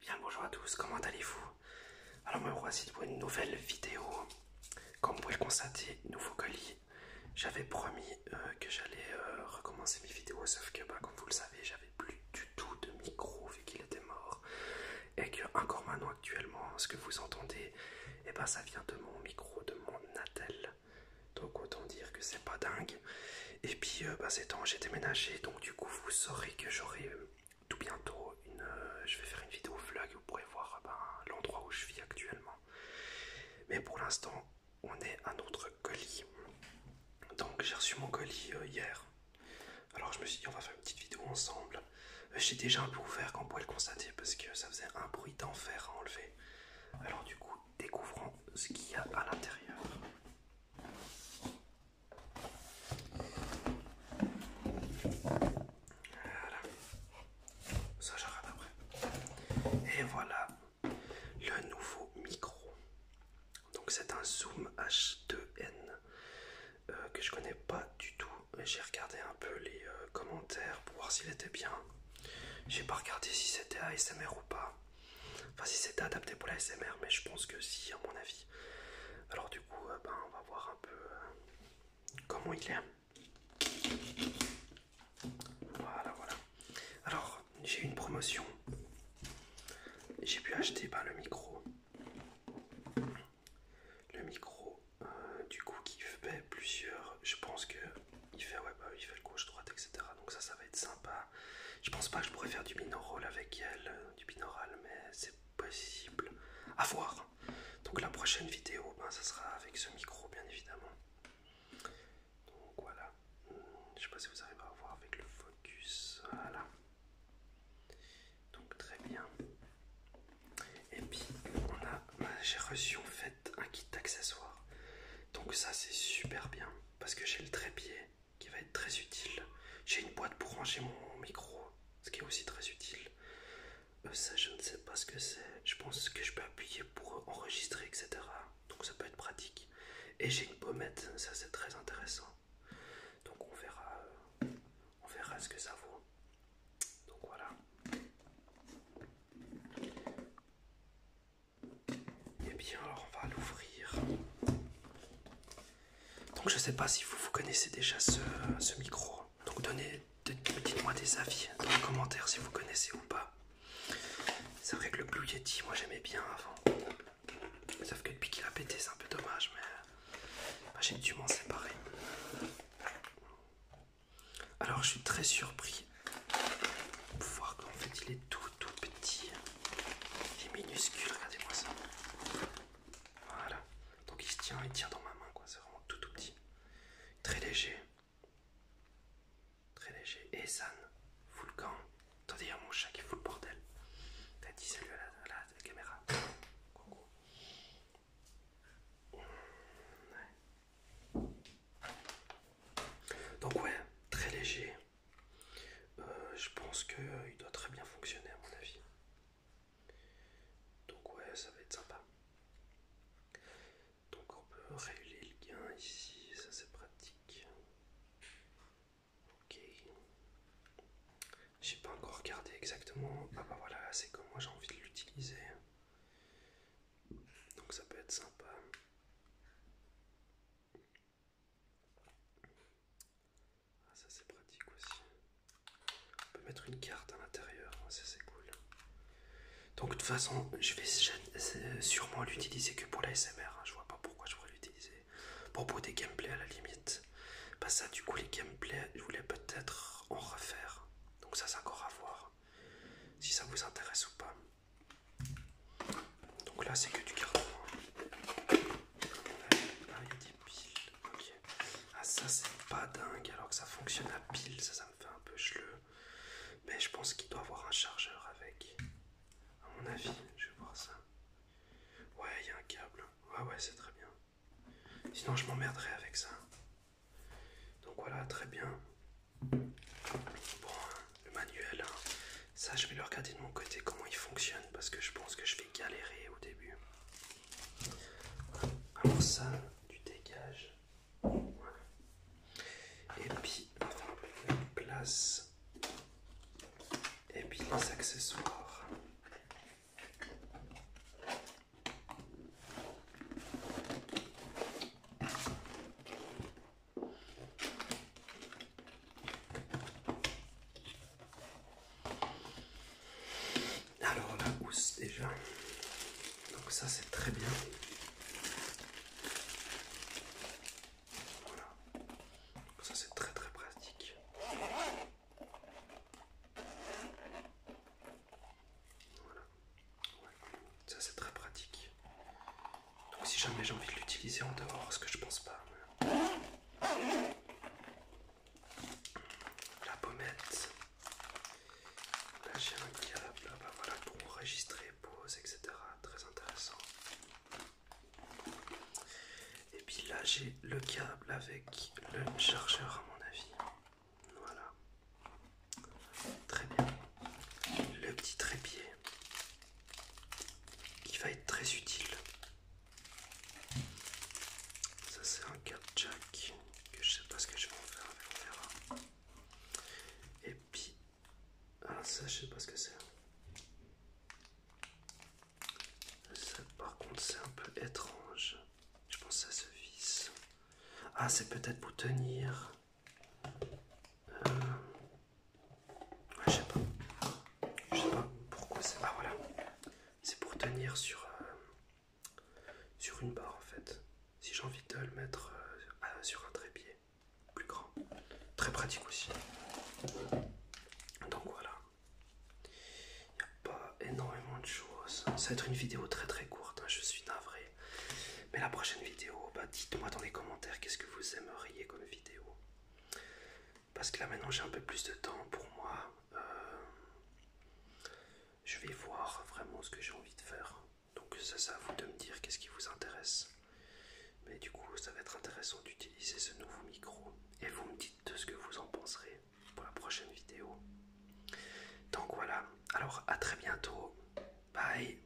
Bien bonjour à tous, comment allez-vous Alors moi, je me voici pour une nouvelle vidéo. Comme vous pouvez le constater, nouveau colis. J'avais promis euh, que j'allais euh, recommencer mes vidéos, sauf que bah, comme vous le savez, j'avais plus du tout de micro vu qu'il était mort. Et que encore maintenant actuellement, ce que vous entendez, eh ben, ça vient de mon micro, de mon Natel. Donc autant dire que c'est pas dingue. Et puis, euh, bah, c'est temps, j'ai déménagé, donc du coup, vous saurez que j'aurai euh, tout bientôt une. Euh, je vais faire une vidéo vlog, vous pourrez voir bah, l'endroit où je vis actuellement. Mais pour l'instant, on est à notre colis. Donc, j'ai reçu mon colis hier. Alors, je me suis dit, on va faire une petite vidéo ensemble. j'ai déjà un peu ouvert, comme vous pouvez le constater, parce que ça faisait un bruit d'enfer à enlever. Alors, du coup, découvrons ce qu'il y a à l'intérieur. Voilà. Ça j'arrête après. Et voilà le nouveau micro. Donc c'est un zoom H2N euh, que je connais pas du tout. J'ai regardé un peu les euh, commentaires pour voir s'il était bien. J'ai pas regardé si c'était ASMR ou pas. Enfin, si c'était adapté pour la SMR, mais je pense que si, à mon avis. Alors, du coup, euh, ben, on va voir un peu euh, comment il est. Voilà, voilà. Alors, j'ai une promotion. J'ai pu acheter ben, le micro. Le micro, euh, du coup, qui fait plusieurs. Je pense que il fait, bah, il fait gauche, droite, etc. Donc ça, ça va être sympa. Je pense pas que je pourrais faire du binaural avec elle, euh, du binaural, mais c'est possible. À voir. Donc la prochaine vidéo, ben, ça sera avec ce micro, bien évidemment. Donc voilà. Hmm, je sais pas si vous arrivez à voir avec le focus. Voilà. Donc très bien. Et puis on ben, j'ai reçu en fait un kit d'accessoires. Donc ça c'est super bien parce que j'ai le trépied, qui va être très utile. J'ai une boîte pour ranger mon micro, ce qui est aussi très utile. Euh, ça, je ne sais pas ce que c'est. Je pense que je peux appuyer pour enregistrer, etc. Donc ça peut être pratique. Et j'ai une pommette, ça c'est très intéressant. Donc on verra, euh, on verra ce que ça vaut. Donc voilà. Et eh bien, alors on va l'ouvrir. Donc, je sais pas si vous, connaissez déjà ce, micro. Donc, donnez, dites-moi des avis dans les commentaires si vous connaissez ou pas. C'est vrai que le Blue Yeti, moi j'aimais bien avant. Sauf que depuis qu'il a pété, c'est un peu dommage, mais bah, j'ai dû m'en séparer. Alors, je suis très surpris de voir qu'en fait, il est tout tout petit. Il hein. est minuscule, regardez-moi ça. Voilà. Donc il se tient, il tient dans ma main, quoi. C'est vraiment tout tout petit. Très léger. Très léger. Et San, le camp Attendez, mon chat qui fout le bordel. T'as dit salut à la, caméra. Coucou. Donc ouais, très léger. Euh, je pense qu'il euh, doit très bien fonctionner à mon avis. Donc ouais, ça va être sympa. Donc on peut régler le gain ici, ça c'est pratique. Ok. J'ai pas encore regardé exactement. Ah bah voilà, c'est comme moi j'ai envie de l'utiliser. Donc ça peut être sympa. Ah, ça c'est pratique aussi. On peut mettre une carte à l'intérieur, hein, ça c'est cool. Donc de toute façon, je vais euh, sûrement l'utiliser que pour la SMR. Hein. Je vois pas pourquoi je pourrais l'utiliser. pour des gameplays à la limite. Bah ça du coup les gameplays, je voulais peut-être en refaire. Donc ça c'est encore à voir. Si ça vous intéresse ou pas. Donc là, c'est que du carton. Ah, y Ah, ça, c'est pas dingue. Alors que ça fonctionne à pile, ça, me fait un peu cheleux. Mais je pense qu'il doit avoir un chargeur avec. À mon avis, je vais voir ça. Ouais, il y a un câble. Hein. Ouais, ouais, c'est très bien. Sinon, je m'emmerderais avec ça. Donc voilà, très bien. Bon, hein le manuel. Hein. Ça, je vais le regarder de mon côté comment il fonctionne parce que je pense que je vais galérer au début. Alors, ah, ça, du dégage Et puis, place. Et puis, les accessoires. Alors la housse déjà. Donc ça c'est très bien. ça c'est très très pratique. Ça c'est très pratique. Donc si jamais j'ai envie de l'utiliser en dehors, ce que je pense pas. La pommette. Là j'ai un câble, bah, voilà, pour enregistrer, pause, etc. Très intéressant. Et puis là j'ai le câble avec le chargeur à mon avis. Voilà. Très bien. Le petit trépied qui va être très utile. Ça c'est un 4 jack que je sais pas ce que je vais en faire, mais on verra. Et puis, ah, ça je sais pas ce que c'est. Ça par contre c'est un peu étrange. Je pense que ça se visse. Ah c'est peut-être pour tenir. Euh, je sais pas. Je sais pas pourquoi c'est. Ah voilà. C'est pour tenir sur, euh, sur une barre en fait. Si j'ai envie de le mettre euh, sur un trépied plus grand. Très pratique aussi. Donc voilà. Il n'y a pas énormément de choses. Ça va être une vidéo très très courte, hein, je suis navré. Mais la prochaine vidéo, bah, dites-moi dans les commentaires qu'est-ce que vous aimeriez comme vidéo. Parce que là maintenant j'ai un peu plus de temps pour moi. Euh, je vais voir vraiment ce que j'ai envie de faire. Donc ça c'est à vous de me dire qu'est-ce qui vous intéresse. Mais du coup ça va être intéressant d'utiliser ce nouveau micro. Et vous me dites de ce que vous en penserez pour la prochaine vidéo. Donc voilà, alors à très bientôt. Bye